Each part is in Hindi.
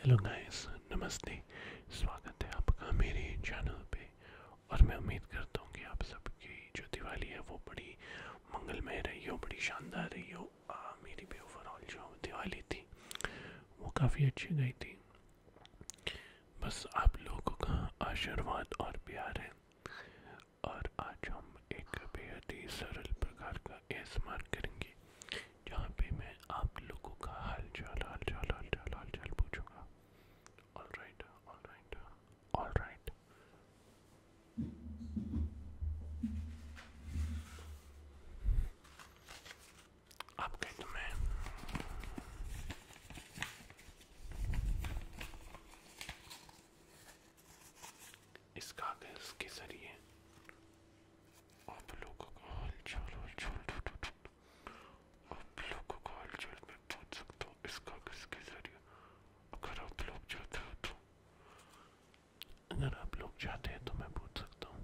हेलो गाइस नमस्ते स्वागत है आपका मेरे चैनल पे और मैं उम्मीद करता हूँ कि आप सबकी जो दिवाली है वो बड़ी मंगलमय रही हो बड़ी शानदार रही हो आ, मेरी भी ओवरऑल जो दिवाली थी वो काफ़ी अच्छी गई थी बस आप लोगों का आशीर्वाद और प्यार है और आज हम एक बेहद ही सरल प्रकार का एसमार करेंगे जहाँ पे मैं आप लोगों का हाल चाल हाल चाल हाल चाल हाल चाल पूछूंगा all right all right all right आप कह तो मैं इस कागज के जरिए आप लोगों को हलचल हलचल आप लोगों को हलचल में पहुंच सकता हूँ इस कागज के जरिए अगर आप लोग चाहते हो तो अगर आप लोग चाहते हैं तो मैं पूछ सकता हूँ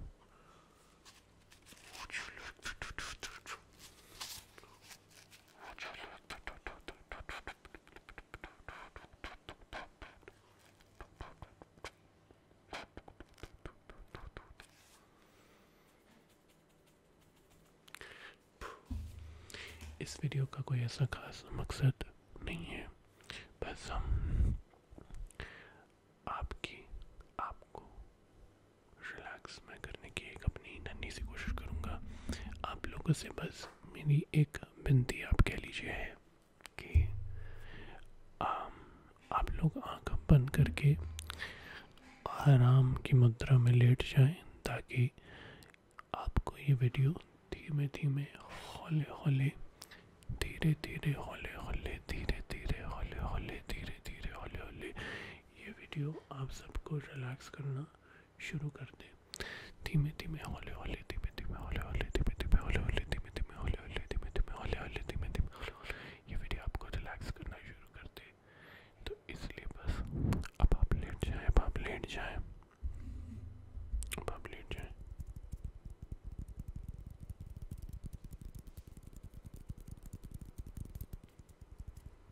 इस वीडियो का कोई ऐसा खास मकसद नहीं है बस हम आपकी आपको रिलैक्स में करने की एक अपनी नन्ही सी कोशिश करूंगा आप लोगों से बस मेरी एक विनती आप कह लीजिए है कि आप लोग आँख बंद करके आराम की मुद्रा में लेट जाएं ताकि आपको ये वीडियो धीमे धीमे हौले हौले धीरे धीरे हौले हौले धीरे धीरे हौले हौले धीरे धीरे हौले हौले ये वीडियो आप सबको रिलैक्स करना शुरू कर दें धीमे धीमे हौले हौले धीमे धीमे हौले हौले धीमे धीमे हौले हौले धीमे धीमे हौले हौले धीमे धीमे हौले हौले धीमे धीमे हौले हौले ये वीडियो आपको रिलैक्स करना शुरू कर दे तो इसलिए बस अब आप लेट जाए अब आप लेट जाए अब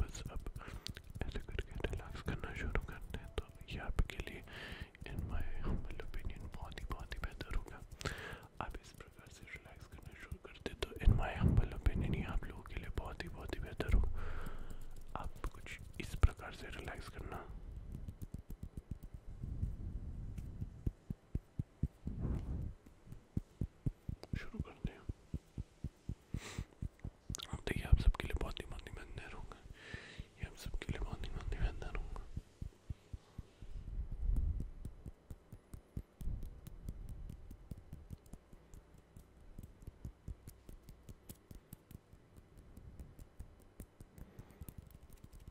बस अब ऐसे करके रिलैक्स करना शुरू करते हैं तो ये आपके लिए इन माय हम्बल ओपिनियन बहुत ही बहुत ही बेहतर होगा आप इस प्रकार से रिलैक्स करना शुरू करते तो इन माय हम्बल ओपिनियन ये आप लोगों के लिए बहुत ही बहुत ही बेहतर हो आप कुछ इस प्रकार से रिलैक्स करना शुरू करते हैं अब देखिए आप सबके लिए बहुत ही मन ही अंदर होगा ये आप सबके लिए बहुत ही मन ही अंदर होगा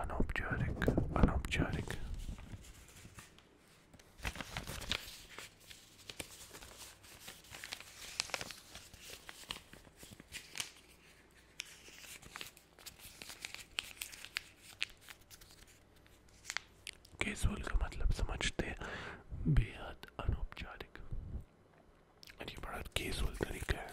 अनौपचारिक अनौपचारिक कैजुअल का मतलब समझते हैं बेहद अनौपचारिक और ये बड़ा कैजुअल तरीका है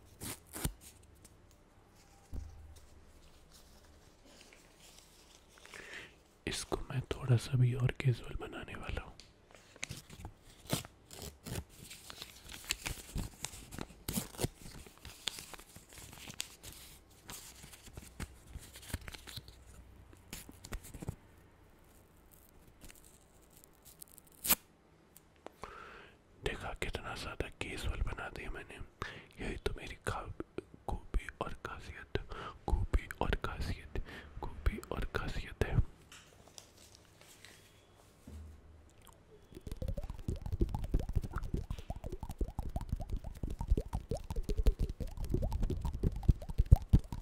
इसको मैं थोड़ा सा भी और कैजुअल बनाने वाला हूँ देखा कितना ज़्यादा केजुअल बना दिया मैंने यही तो मेरी खूबी और खासियत खूबी और खासियत खूबी और खासियत है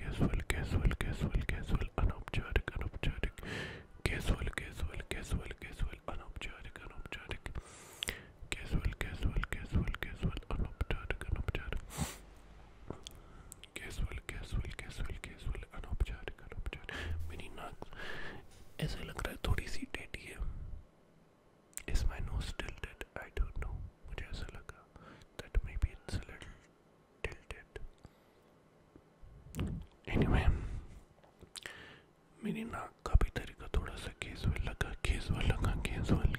casual casual casual casual अनौपचारिक अनौपचारिक casual casual casual casual अनौपचारिक अनौपचारिक casual casual casual casual अनौपचारिक अनौपचारिक casual casual casual casual अनौपचारिक अनौपचारिक मेरी नाक ऐसा लग रहा है थोड़ी सी टेढ़ी है Is my nose tilted? I don't know. मुझे ऐसा लगा that maybe it's a little tilted. Anyway, मेरी नाक का भी तरीका थोड़ा सा केजुअल लगा केजुअल लगा केजुअल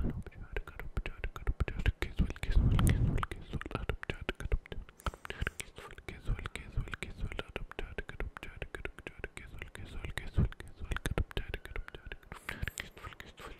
अनुपचार कर उपचार कर उपचार केजुअल केजुअल केजुअल केजुअल अनुपचार कर उपचार केजुअल केजुअल केजुअल केजुअल अनुपचार कर उपचार कर उपचार केजुअल केजुअल केजुअल केजुअल कर उपचार कर उपचार केजुअल केजुअल